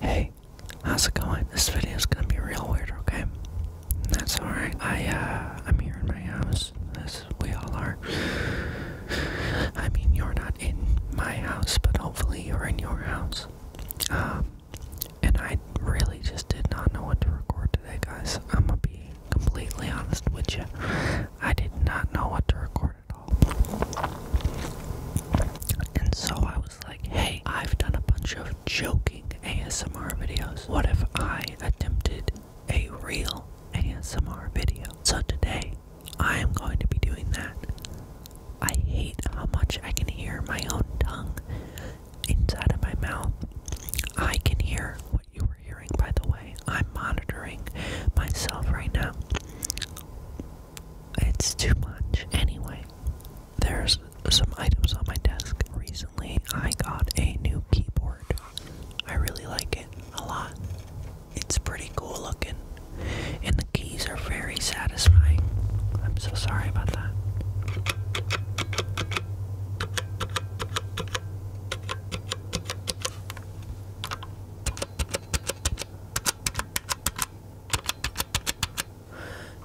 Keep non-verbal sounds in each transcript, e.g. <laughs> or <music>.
Hey, how's it going? This video is gonna be real weird, okay? That's alright. I uh I'm here in my house, as we all are. I mean you're not in my house, but hopefully you're in your house. Um and I really just did not know what to record today guys. I'm gonna be completely honest with you. I did not know what to record at all. And so I was like, hey, I've done a bunch of joking ASMR videos. What if I attempted a real ASMR video? So today, I am going to be doing that. I hate how much I can hear my own tongue inside of my mouth. I can hear you were hearing, by the way. I'm monitoring myself right now. It's too much. Anyway, there's some items on my desk. Recently, I got a new keyboard. I really like it a lot. It's pretty cool looking, and the keys are very satisfying. I'm so sorry about that.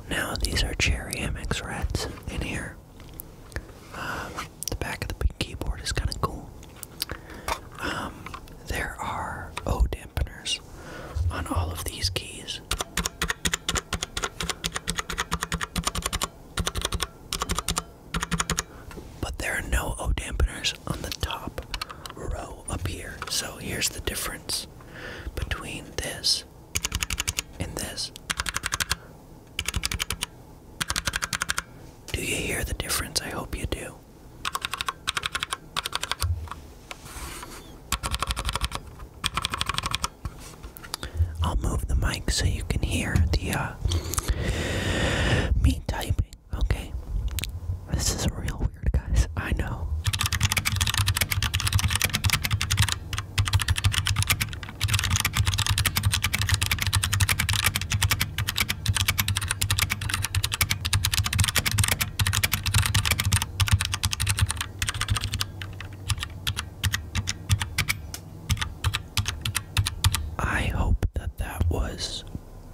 Now these are Cherry MX Reds in here. Um, the back of the keyboard is kind of cool. Um, there are O dampeners on all of these keys. But there are no O dampeners on the top row up here. So here's the difference between this and this. Do you hear the difference? I hope you do. I'll move the mic so you can hear the uh, me typing. Okay, this is real weird, guys. I know. I hope that that was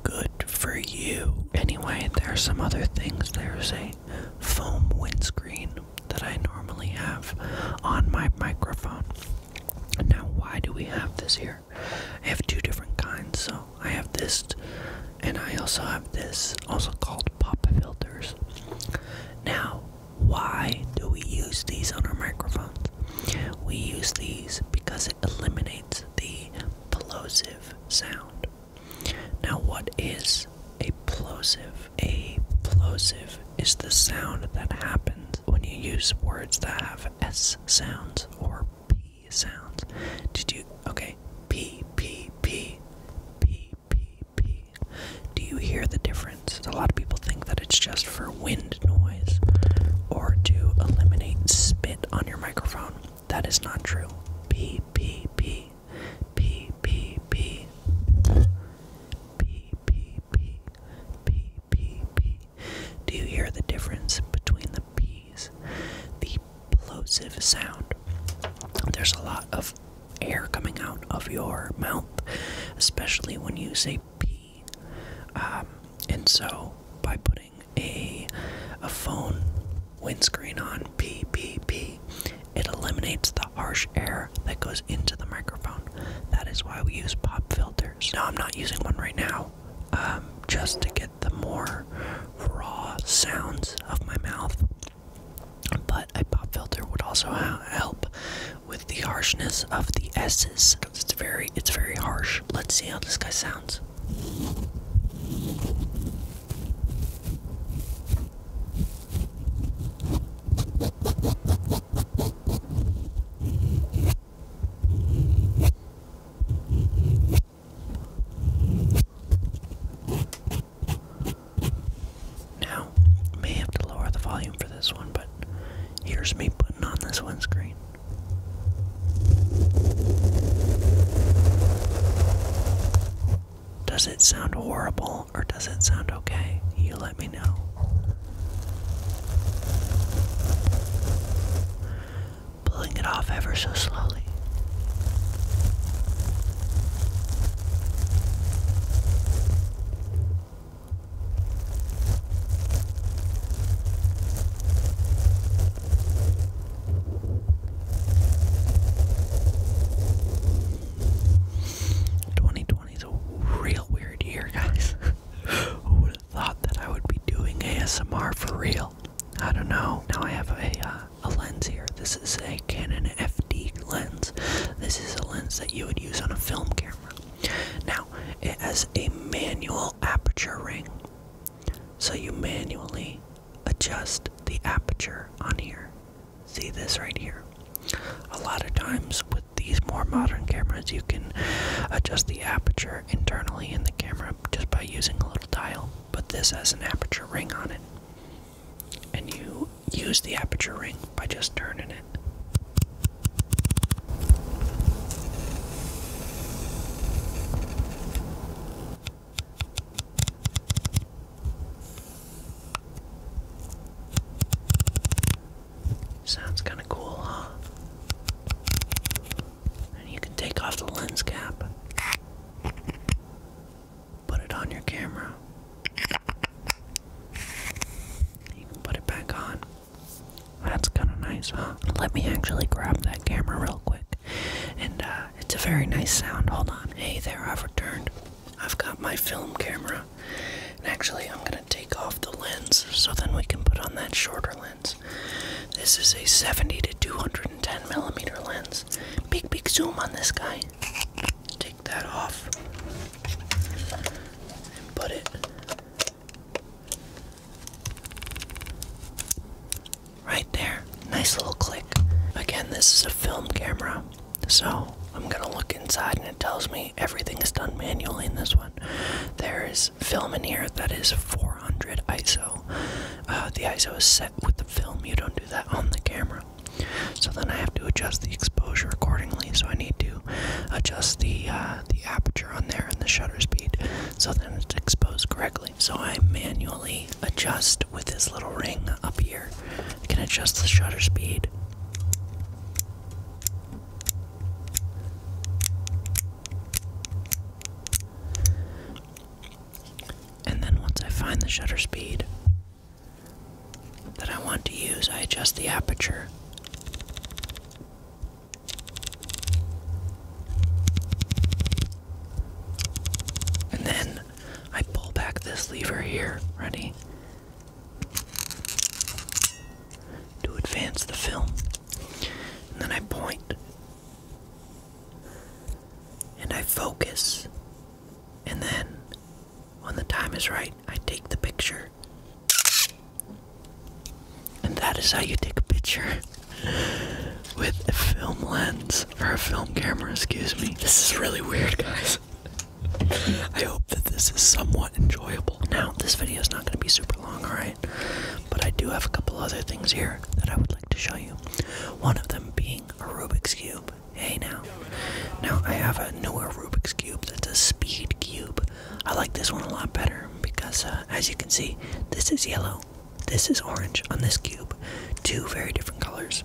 good for you. Anyway, there are some other things. There's a foam windscreen that I normally have on my microphone. Now, why do we have this here? I have two different kinds. So I have this, and I also have this, also called pop filters. Now, why do we use these on our microphones? We use these because it eliminates the plosive sound. Now, what is a plosive? A plosive is the sound that happens when you use words that have S sounds or P sounds. Did you? Okay, P, P, P, P, P P. Do you hear the difference? A lot of people think that it's just for wind noise or to eliminate spit on your microphone. That is not true. P P P P P P P P P P P P. Do you hear the difference between the P's? The plosive sound. There's a lot of air coming out of your mouth, especially when you say "p," um, and so, by putting a a phone windscreen on, pee pee pee, it eliminates the harsh air that goes into the microphone. That is why we use pop filters. Now, I'm not using one right now, um, just to get the more raw sounds of my mouth but a pop filter would also help with the harshness of the S's. It's very, it's very harsh. Let's see how this guy sounds. Now, may have to lower the volume for this one, but here's me putting on this windscreen. Does it sound horrible or does it sound okay? You let me know. Pulling it off ever so slowly. 2020 is a real weird year, guys. <laughs> Who would have thought that I would be doing ASMR for real? I don't know. Now I have a uh, a lens here. This is a Canon FD lens. This is a lens that you would use on a film camera. Now, it has a manual aperture ring. So you manually adjust the aperture on here. See this right here? A lot of times with these more modern cameras, you can adjust the aperture internally in the camera just by using a little dial but this has an aperture ring on it. And you use the aperture ring by just turning it. Sounds kind of cool, huh? and you can take off the lens cap, put it on your camera, you can put it back on. That's kind of nice, huh? Let me actually grab that camera real quick. And uh, it's a very nice sound. Hold on. Hey there, I've returned. I've got my film camera. And actually, I'm going to take off the lens so then we can put on that shorter lens. This is a 70 to 210 millimeter lens. Big, big zoom on this guy. Take that off and put it right there. Nice little click. Again, this is a film camera, so I'm gonna look inside and it tells me everything is done manually in this one. There is film in here that is 400 ISO. Uh, the ISO is set with the film, you don't do that on the camera. So then I have to adjust the exposure accordingly. So I need to adjust the uh, the aperture on there and the shutter speed, so then it's exposed correctly. So I manually adjust with this little ring up here. I can adjust the shutter speed. And then once I find the shutter speed that I want to use, I adjust the aperture. And then I pull back this lever here, ready? To advance the film. And then I And I focus. And then, when the time is right, I take the picture. And that is how you take a picture <laughs> with a film lens, or a film camera, excuse me. This is really weird, guys. <laughs> I hope that this is somewhat enjoyable. Now, this video is not going to be super long, alright? But I do have a couple other things here that I would like to show you. One of them being a Rubik's Cube. Hey now. Now I have a new Rubik's Cube that's a speed cube. I like this one a lot better because, uh, as you can see, this is yellow, this is orange on this cube. Two very different colors.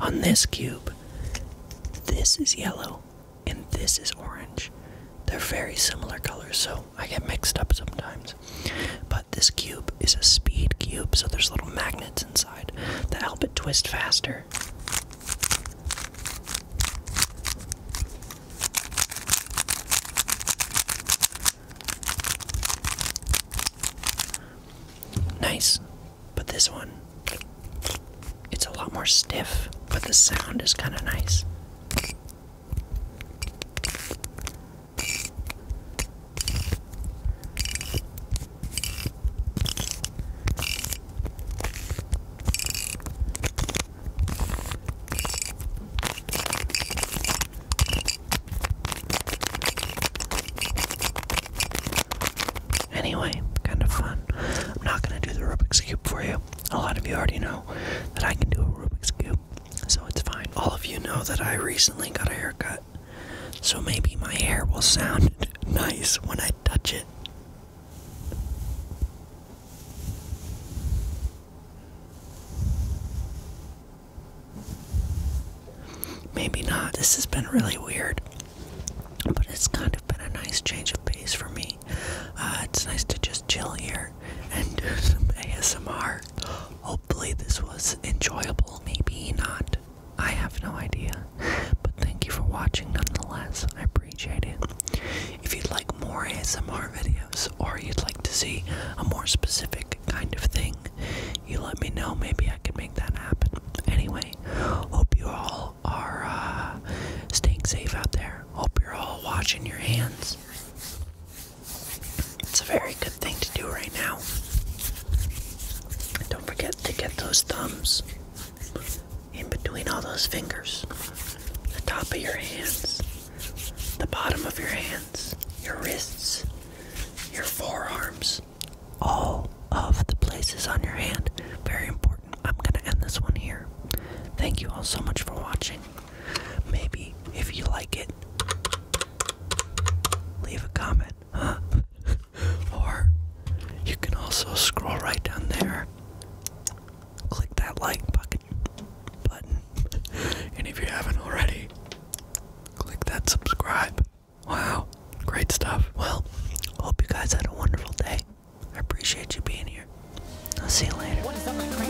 On this cube, this is yellow and this is orange. They're very similar colors, so I get mixed up sometimes. But this cube is a speed cube, so there's little magnets inside that help it twist faster. Nice, but this one, it's a lot more stiff, but the sound is kind of nice. Anyway, kind of fun. I'm not going to do the Rubik's Cube for you. A lot of you already know that I can do a Rubik's Cube, so it's fine. All of you know that I recently got a haircut, so maybe my hair will sound <laughs> nice when I touch it. Maybe not. This has been really weird, but it's kind of been a nice change of pace for me. Uh, it's nice to just chill here and do some ASMR. Hopefully, this was enjoyable. Maybe not. I have no idea. But thank you for watching nonetheless. I appreciate it. If you'd like more ASMR videos or you'd like to see a more specific kind of thing, you let me know. Maybe I can make that happen. Anyway, hope you all all are uh, staying safe out there. Hope you're all watching your hands. It's a very good thing to do right now. don't forget to get those thumbs in between all those fingers. The top of your hands, the bottom of your hands, your wrists, your forearms, all of the places on your hand. Very important. I'm gonna end this one here. Thank you all so much for watching. Maybe if you like it, leave a comment, huh? <laughs> or you can also scroll right down there, click that like button, <laughs> and if you haven't already, click that subscribe. Wow, great stuff. Well, hope you guys had a wonderful day. I appreciate you being here. I'll see you later.